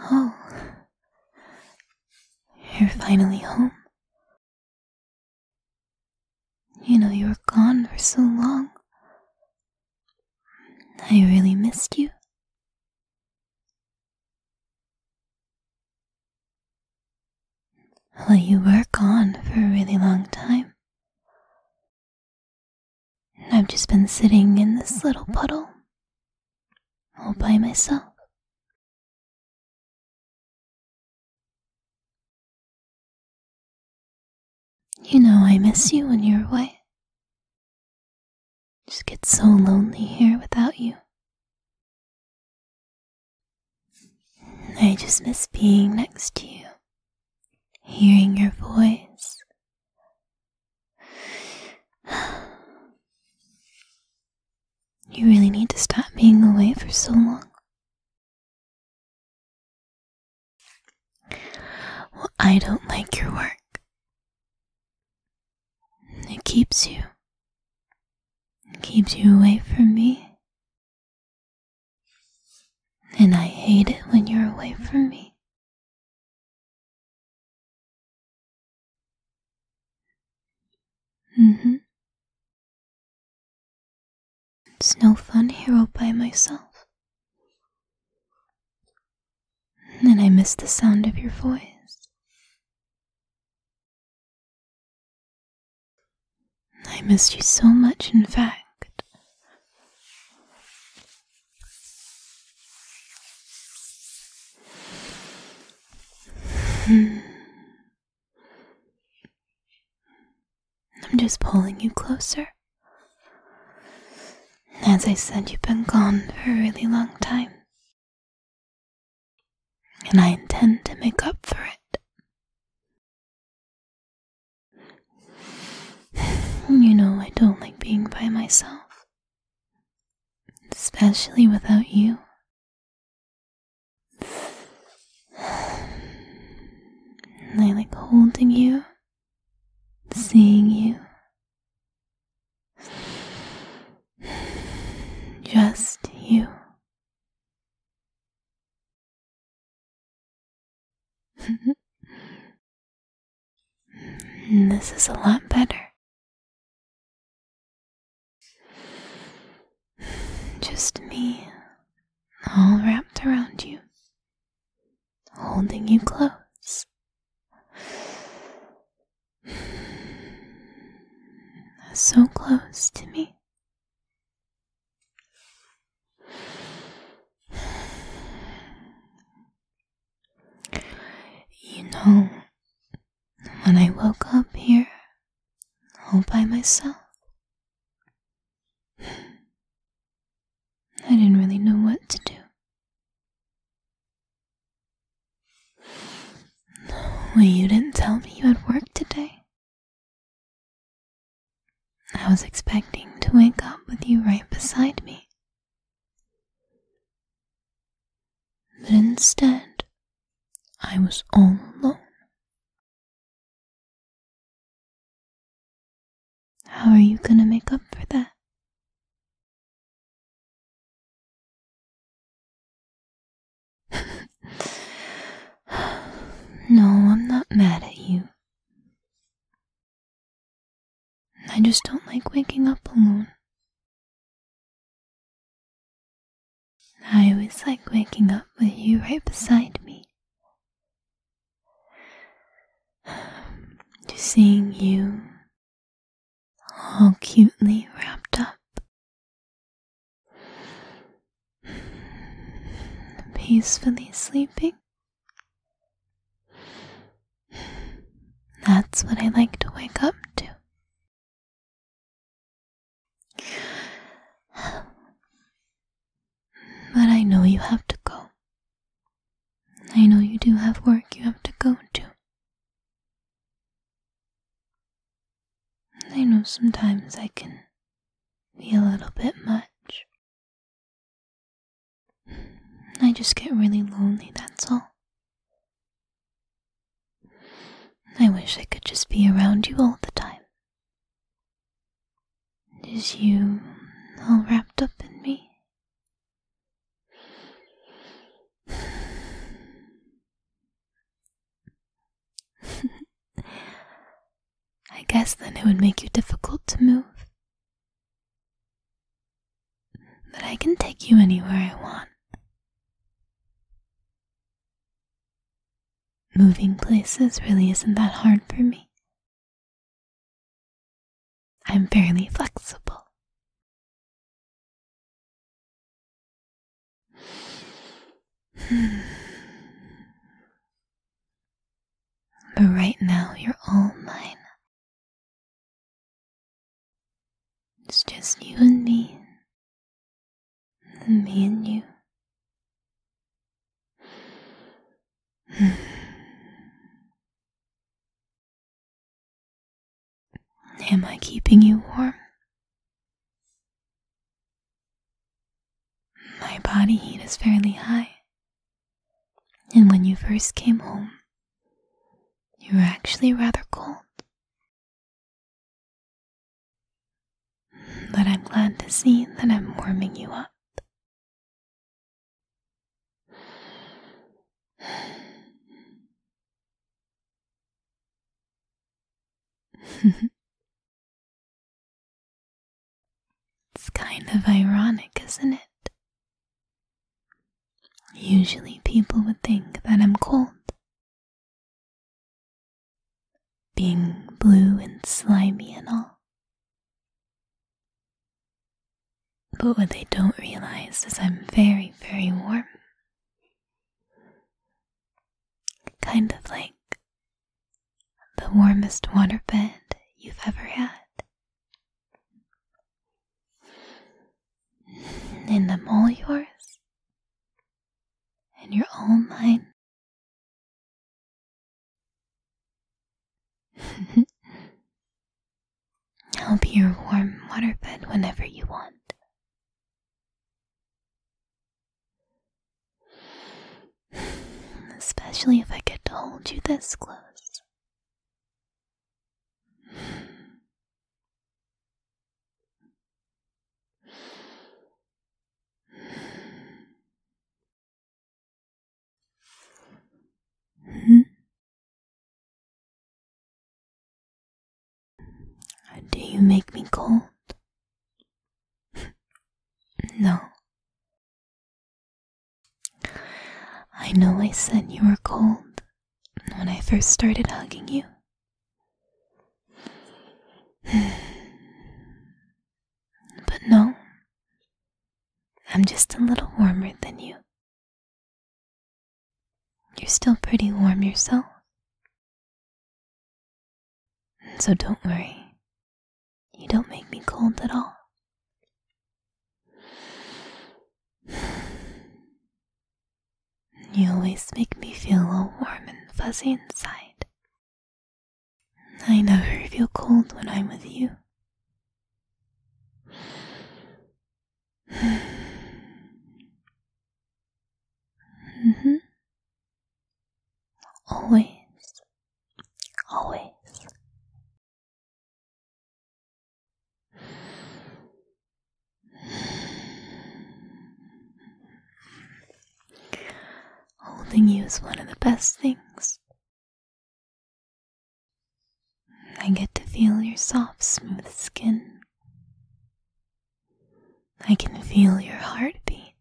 Oh, you're finally home. You know, you were gone for so long. I really missed you. Well, you were gone for a really long time. I've just been sitting in this little puddle all by myself. You know I miss you when you're away. Just get so lonely here without you. I just miss being next to you, hearing your voice, You really need to stop being away for so long. Well, I don't like your work. It keeps you. It keeps you away from me. And I hate it when you're away from me. Mm-hmm. It's no fun here all by myself. And I miss the sound of your voice. I missed you so much, in fact. Hmm. I'm just pulling you closer. As I said, you've been gone for a really long time. And I intend to make up for it. You know, I don't like being by myself, especially without you. I like holding you, seeing you, just you. this is a lot better. Just me, all wrapped around you, holding you close. So close to me. You know, when I woke up here all by myself, I didn't really know what to do. Well, you didn't tell me you had work today. I was expecting to wake up with you right beside me. But instead, I was all alone. How are you going to make up for that? no, I'm not mad at you. I just don't like waking up alone. I always like waking up with you right beside me. Just seeing you all cutely wrapped up. Peacefully sleeping. That's what I like to wake up to. But I know you have to go. I know you do have work you have to go to. I know sometimes I can be a little bit much. I just get really lonely, that's all. I wish I could just be around you all the time. Is you all wrapped up in me? I guess then it would make you difficult to move. That I can take you anywhere I want. Moving places really isn't that hard for me. I'm fairly flexible. but right now, you're all mine. It's just you and me. Me and you. Am I keeping you warm? My body heat is fairly high, and when you first came home, you were actually rather cold. But I'm glad to see that I'm warming you up. It's kind of ironic, isn't it? Usually people would think that I'm cold. Being blue and slimy and all. But what they don't realize is I'm very, very warm. Kind of like the warmest waterbed you've ever had. And I'm all yours. And you're all mine. I'll be your warm waterbed whenever you want. Especially if I get to hold you this close. Do you make me cold? no, I know I said you were cold when I first started hugging you. but no, I'm just a little warmer than you. You're still pretty warm yourself. So don't worry. You don't make me cold at all. You always make me feel all warm and fuzzy inside. I never feel cold when I'm with you. -hmm. Always. Always. Holding you is one of the best things. I get to feel your soft, smooth skin. I can feel your heartbeat.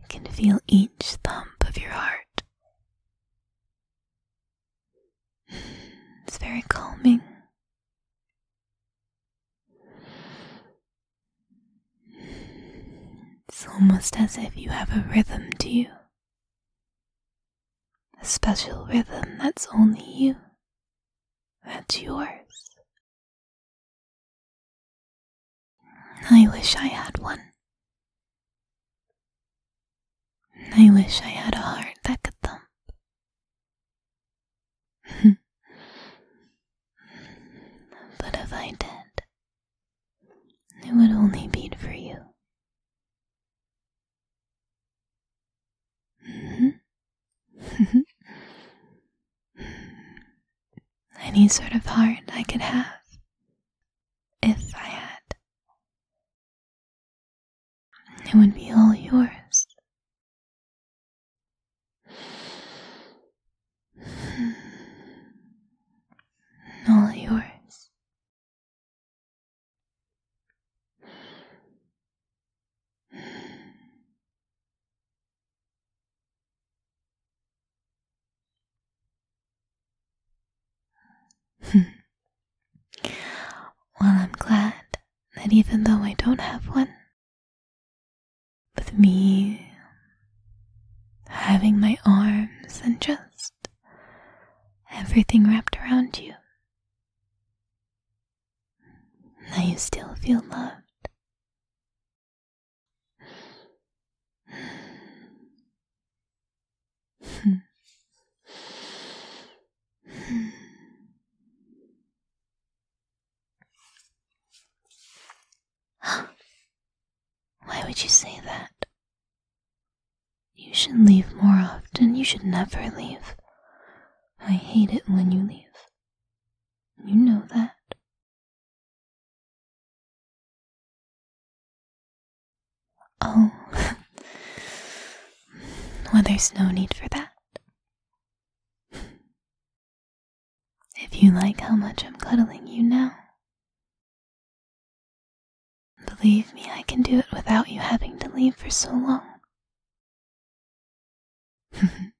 You can feel each thump of your heart. It's very calming. It's almost as if you have a rhythm to you, a special rhythm that's only you, that's yours, I wish I had one. I wish I had a heart that could thump. but if I did, it would only beat for you. any sort of heart I could have if I had. It would be all yours. All yours. Hmm. well, I'm glad that even though I don't have one, with me having my arms and just everything wrapped around you, now you still feel loved Hmm. Why would you say that? You should leave more often. You should never leave. I hate it when you leave. You know that. Oh, well, there's no need for that. If you like how much I'm cuddling you now, believe me, I can do it without you having to leave for so long.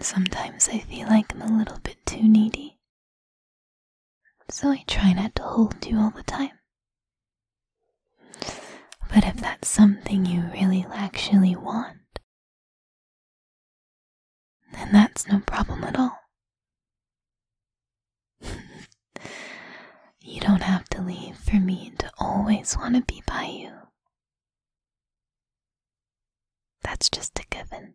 Sometimes I feel like I'm a little bit too needy. So I try not to hold you all the time. But if that's something you really actually want, then that's no problem at all. you don't have to leave for me to always want to be by you. That's just a given.